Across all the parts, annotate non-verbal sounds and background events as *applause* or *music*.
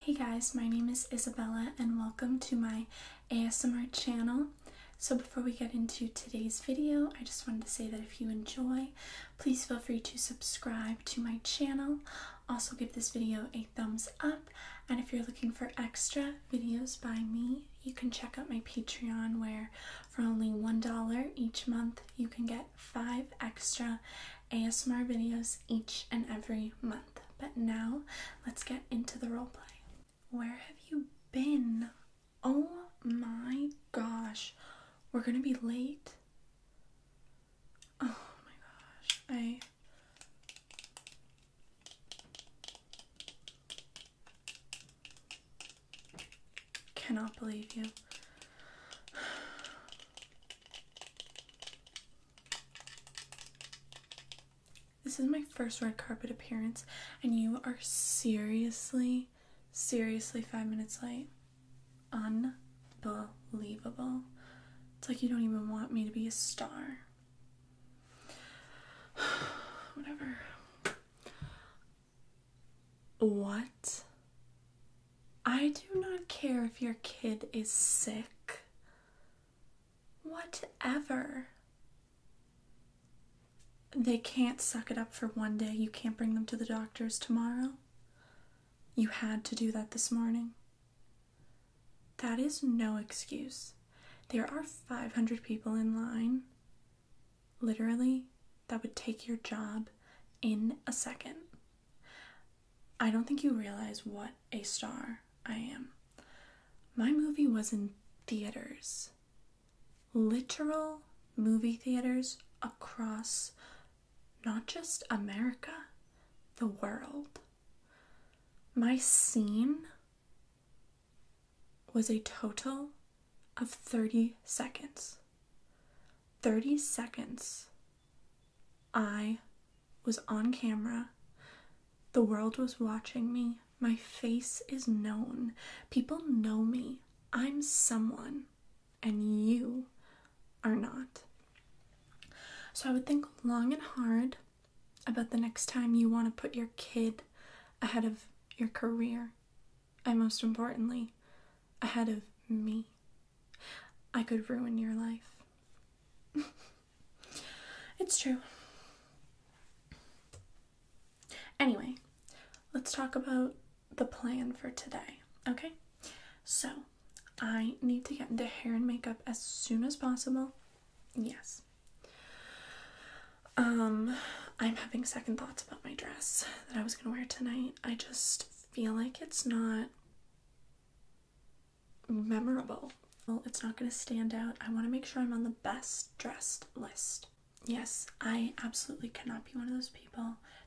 Hey guys, my name is Isabella and welcome to my ASMR channel. So before we get into today's video, I just wanted to say that if you enjoy, please feel free to subscribe to my channel. Also give this video a thumbs up and if you're looking for extra videos by me, you can check out my Patreon where for only $1 each month you can get five extra ASMR videos each and every month. But now let's get into the roleplay. Where have you been? Oh my gosh, we're gonna be late. Oh my gosh, I. Cannot believe you. This is my first red carpet appearance, and you are seriously, seriously five minutes late. Unbelievable. It's like you don't even want me to be a star. *sighs* Whatever. What? I do not care if your kid is sick. Whatever. They can't suck it up for one day. You can't bring them to the doctors tomorrow. You had to do that this morning. That is no excuse. There are 500 people in line. Literally, that would take your job in a second. I don't think you realize what a star I am. My movie was in theaters, literal movie theaters across not just America, the world. My scene was a total of 30 seconds. 30 seconds I was on camera. The world was watching me. My face is known. People know me. I'm someone, and you are not. So I would think long and hard about the next time you want to put your kid ahead of your career, and most importantly, ahead of me. I could ruin your life. *laughs* it's true. Anyway, let's talk about the plan for today, okay? So, I need to get into hair and makeup as soon as possible. Yes. Um, I'm having second thoughts about my dress that I was gonna wear tonight. I just feel like it's not memorable. Well, it's not going to stand out. I want to make sure I'm on the best dressed list. Yes, I absolutely cannot be one of those people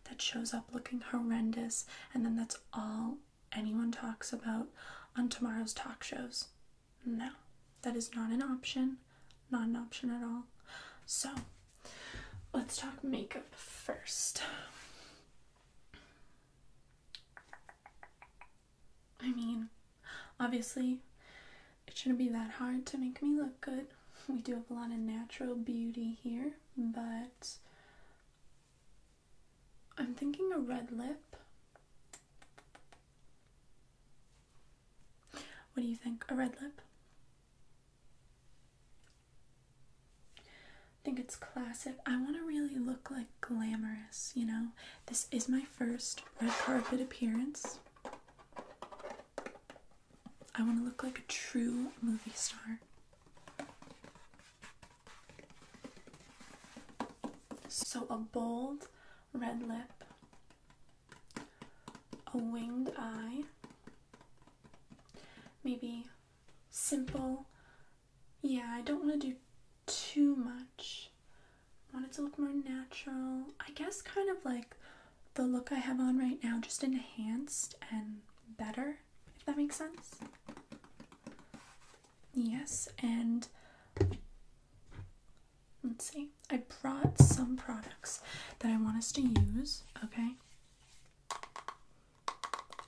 that shows up looking horrendous and then that's all anyone talks about on tomorrow's talk shows. No, that is not an option. Not an option at all. So, let's talk makeup first. I mean, obviously, it shouldn't be that hard to make me look good. We do have a lot of natural beauty here, but I'm thinking a red lip. What do you think? A red lip? I think it's classic. I want to really look like glamorous, you know? This is my first red carpet appearance. I want to look like a true movie star. So, a bold red lip, a winged eye, maybe simple yeah, I don't want to do too much. I want it to look more natural. I guess kind of like the look I have on right now, just enhanced and better, if that makes sense. Yes, and let's see. I brought some products that I want us to use, okay?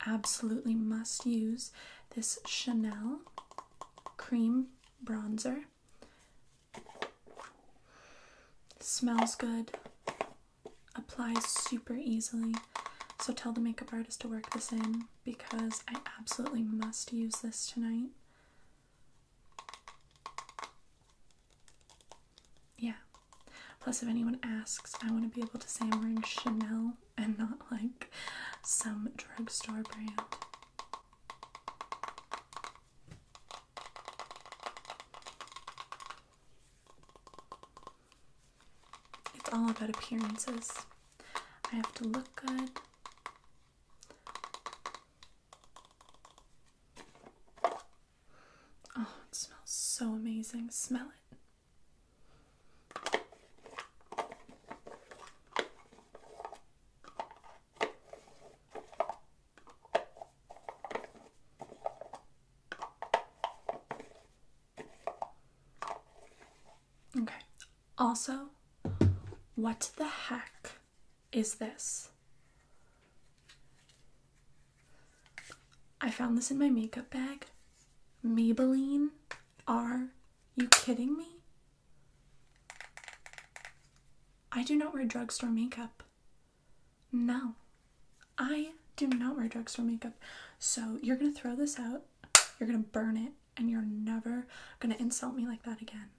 Absolutely must use this Chanel cream bronzer. Smells good, applies super easily. So tell the makeup artist to work this in because I absolutely must use this tonight. Yeah. Plus, if anyone asks, I want to be able to say I'm wearing Chanel and not like some drugstore brand. It's all about appearances. I have to look good. Oh, it smells so amazing. Smell it. Okay. Also, what the heck is this? I found this in my makeup bag. Maybelline? Are you kidding me? I do not wear drugstore makeup. No, I do not wear drugstore makeup. So you're gonna throw this out, you're gonna burn it, and you're never gonna insult me like that again.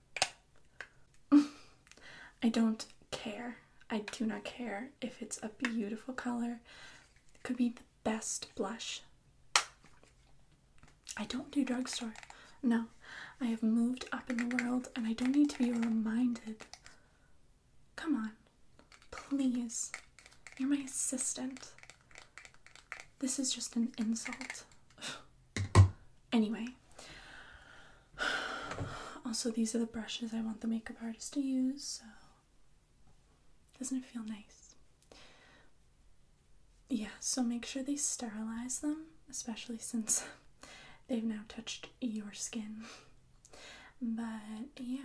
*laughs* I don't care. I do not care if it's a beautiful color. It could be best blush. I don't do drugstore. No, I have moved up in the world and I don't need to be reminded. Come on, please. You're my assistant. This is just an insult. *sighs* anyway. *sighs* Also, these are the brushes I want the makeup artist to use, so. Doesn't it feel nice? Yeah, so make sure they sterilize them, especially since *laughs* they've now touched your skin. But yeah.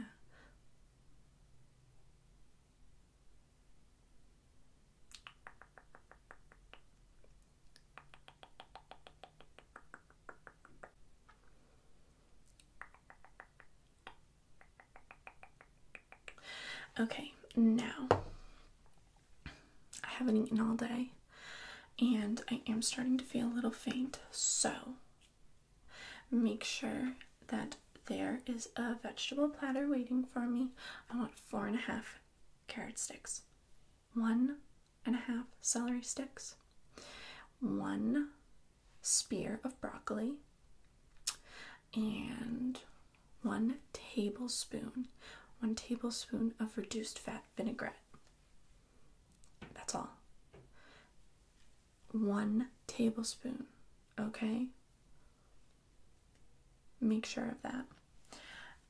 Okay, now I haven't eaten all day and I am starting to feel a little faint, so make sure that there is a vegetable platter waiting for me. I want four and a half carrot sticks, one and a half celery sticks, one spear of broccoli and one tablespoon, one tablespoon of reduced fat vinaigrette. That's all. One tablespoon, okay? Make sure of that.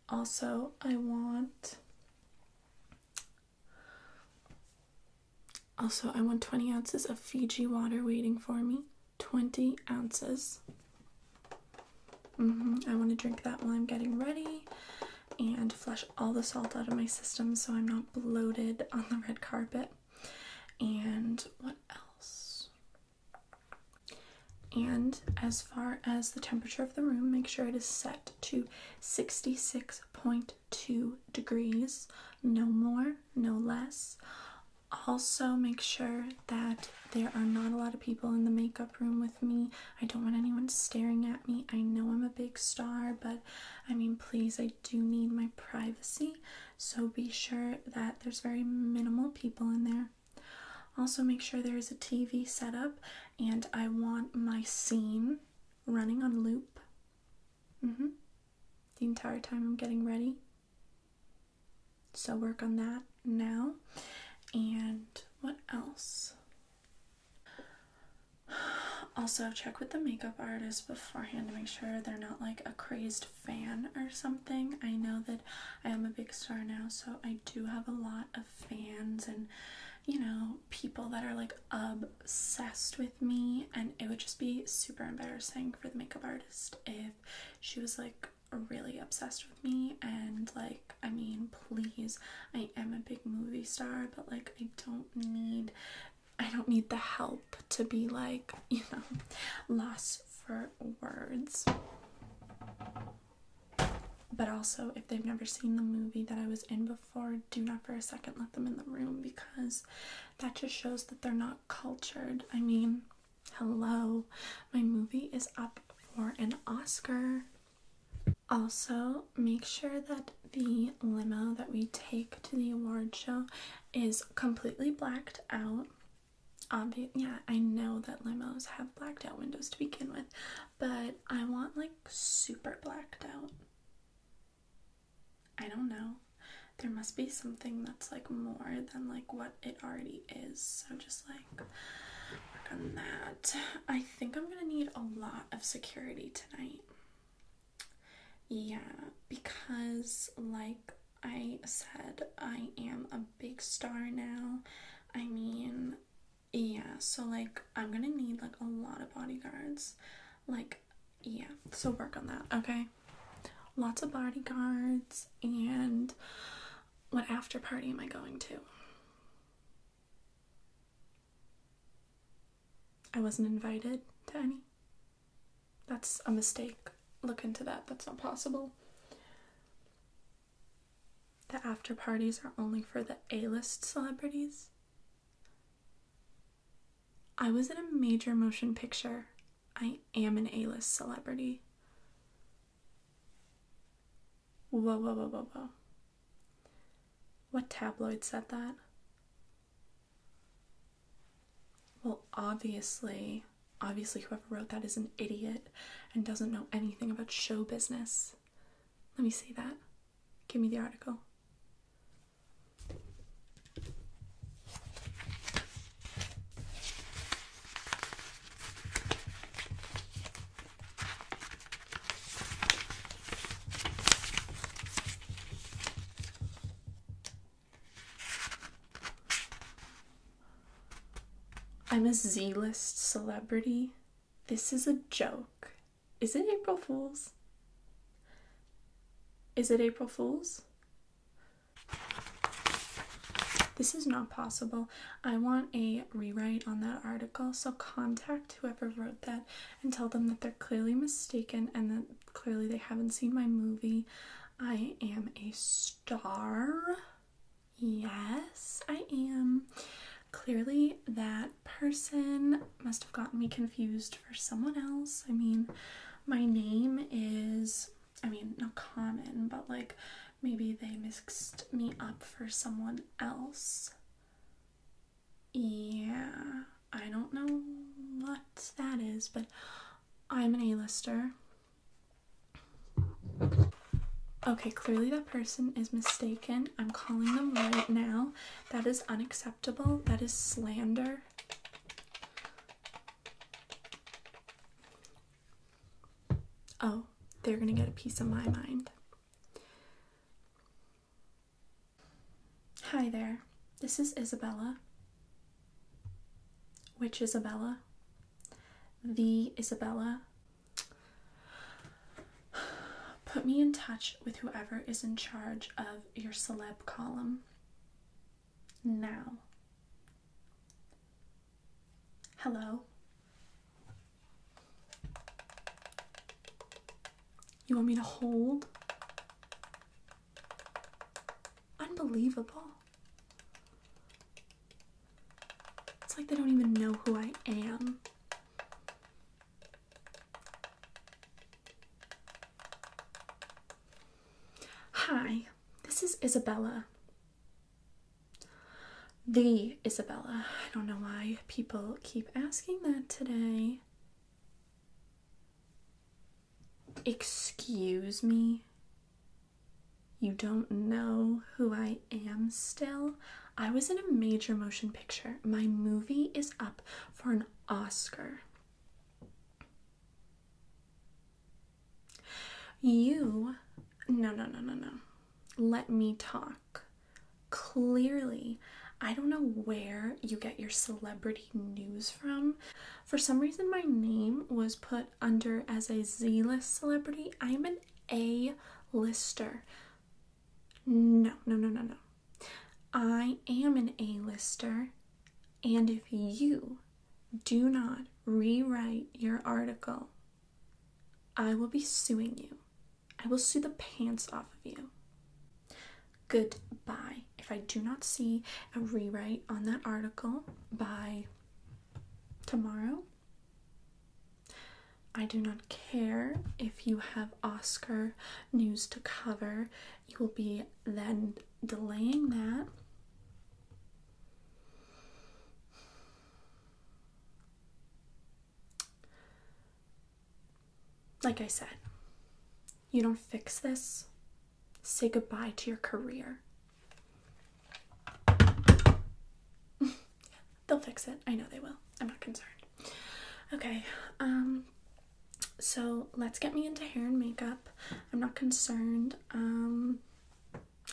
Also, I want also, I want 20 ounces of Fiji water waiting for me. 20 ounces. Mm-hmm, I want to drink that while I'm getting ready and flush all the salt out of my system so I'm not bloated on the red carpet. And what else? And as far as the temperature of the room, make sure it is set to 66.5 two degrees, no more, no less. Also, make sure that there are not a lot of people in the makeup room with me. I don't want anyone staring at me. I know I'm a big star, but I mean, please, I do need my privacy. So be sure that there's very minimal people in there. Also, make sure there is a TV set up, and I want my scene running on loop Mm hmm. The entire time I'm getting ready. So work on that now. And what else? Also, check with the makeup artist beforehand to make sure they're not like a crazed fan or something. I know that I am a big star now, so I do have a lot of fans, and you know, people that are like obsessed with me, and it would just be super embarrassing for the makeup artist if she was like really obsessed with me. And like, I mean, please, I am a big movie star, but like, I don't need. I don't need the help to be like, *laughs* you know, lost for words. But also, if they've never seen the movie that I was in before the do not for a second let them in the room because that just shows that they're not cultured. I mean, hello, my movie is up for an Oscar. Also, make sure that the limo that we take to the award show is completely blacked out. Obvious, yeah, I know that limos have blacked out windows to begin with, but I want like super blacked out. I don't know. There must be something that's like more than like what it already is. So just like on that. I think I'm gonna need a lot of security tonight. Yeah, because like I said, I am a big star now. I mean, yeah, so like I'm gonna need like a lot of bodyguards. Like yeah, so work on that, okay? Lots of bodyguards, and what after party am I going to? I wasn't invited to any. That's a mistake. Look into that. That's not possible. The after parties are only for the A list celebrities. I was in a major motion picture. I am an A list celebrity. Whoa, whoa, whoa, whoa, whoa. What tabloid said that? Well, obviously, obviously, whoever wrote that is an idiot and doesn't know anything about show business. Let me see that. Give me the article. I'm a Z list celebrity. This is a joke. Is it April Fools? Is it April Fools? This is not possible. I want a rewrite on that article, so contact whoever wrote that and tell them that they're clearly mistaken and that clearly they haven't seen my movie. I am a star. Yes, I am. Clearly, that person must have gotten me confused for someone else. I mean, my name is, I mean, not common, but like maybe they mixed me up for someone else. Yeah, I don't know what that is, but I'm an A-lister. Okay, clearly that person is mistaken. I'm calling them right now. That is unacceptable. That is slander. Oh, they're going to get a piece of my mind. Hi there. This is Isabella. Which Isabella? The Isabella. Put me in touch with whoever is in charge of your celeb column. Now. Hello. You want me to hold? Unbelievable. It's like they don't even know who I am. Hi, this is Isabella. The Isabella. I don't know why people keep asking that today. Excuse me? You don't know who I am still? I was in a major motion picture. My movie is up for an Oscar. You, no, no, no, no, no. Let me talk. Clearly, I don't know where you get your celebrity news from. For some reason, my name was put under as a Z list celebrity. I'm an A lister. No, no, no, no, no. I am an A-lister, and if you do not rewrite your article, I will be suing you. I will sue the pants off of you. Goodbye. If I do not see a rewrite on that article by tomorrow, I do not care if you have Oscar news to cover. You will be then delaying that. Like I said, you don't fix this, say goodbye to your career. *laughs* They'll fix it. I know they will. I'm not concerned. Okay, um, so let's get me into hair and makeup. I'm not concerned. Um,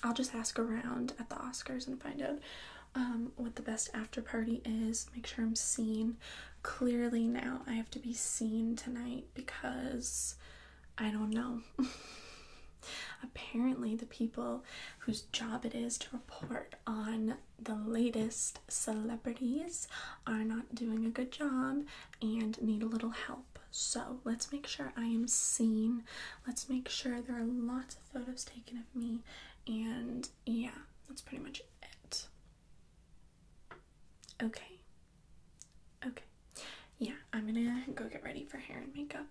I'll just ask around at the Oscars and find out um, what the best after party is. Make sure I'm seen. Clearly, now I have to be seen tonight because I don't know. *laughs* Apparently, the people whose job it is to report on the latest celebrities are not doing a good job and need a little help. So let's make sure I am seen. Let's make sure there are lots of photos taken of me. And yeah, that's pretty much it. Okay. Okay. Yeah, I'm gonna go get ready for hair and makeup.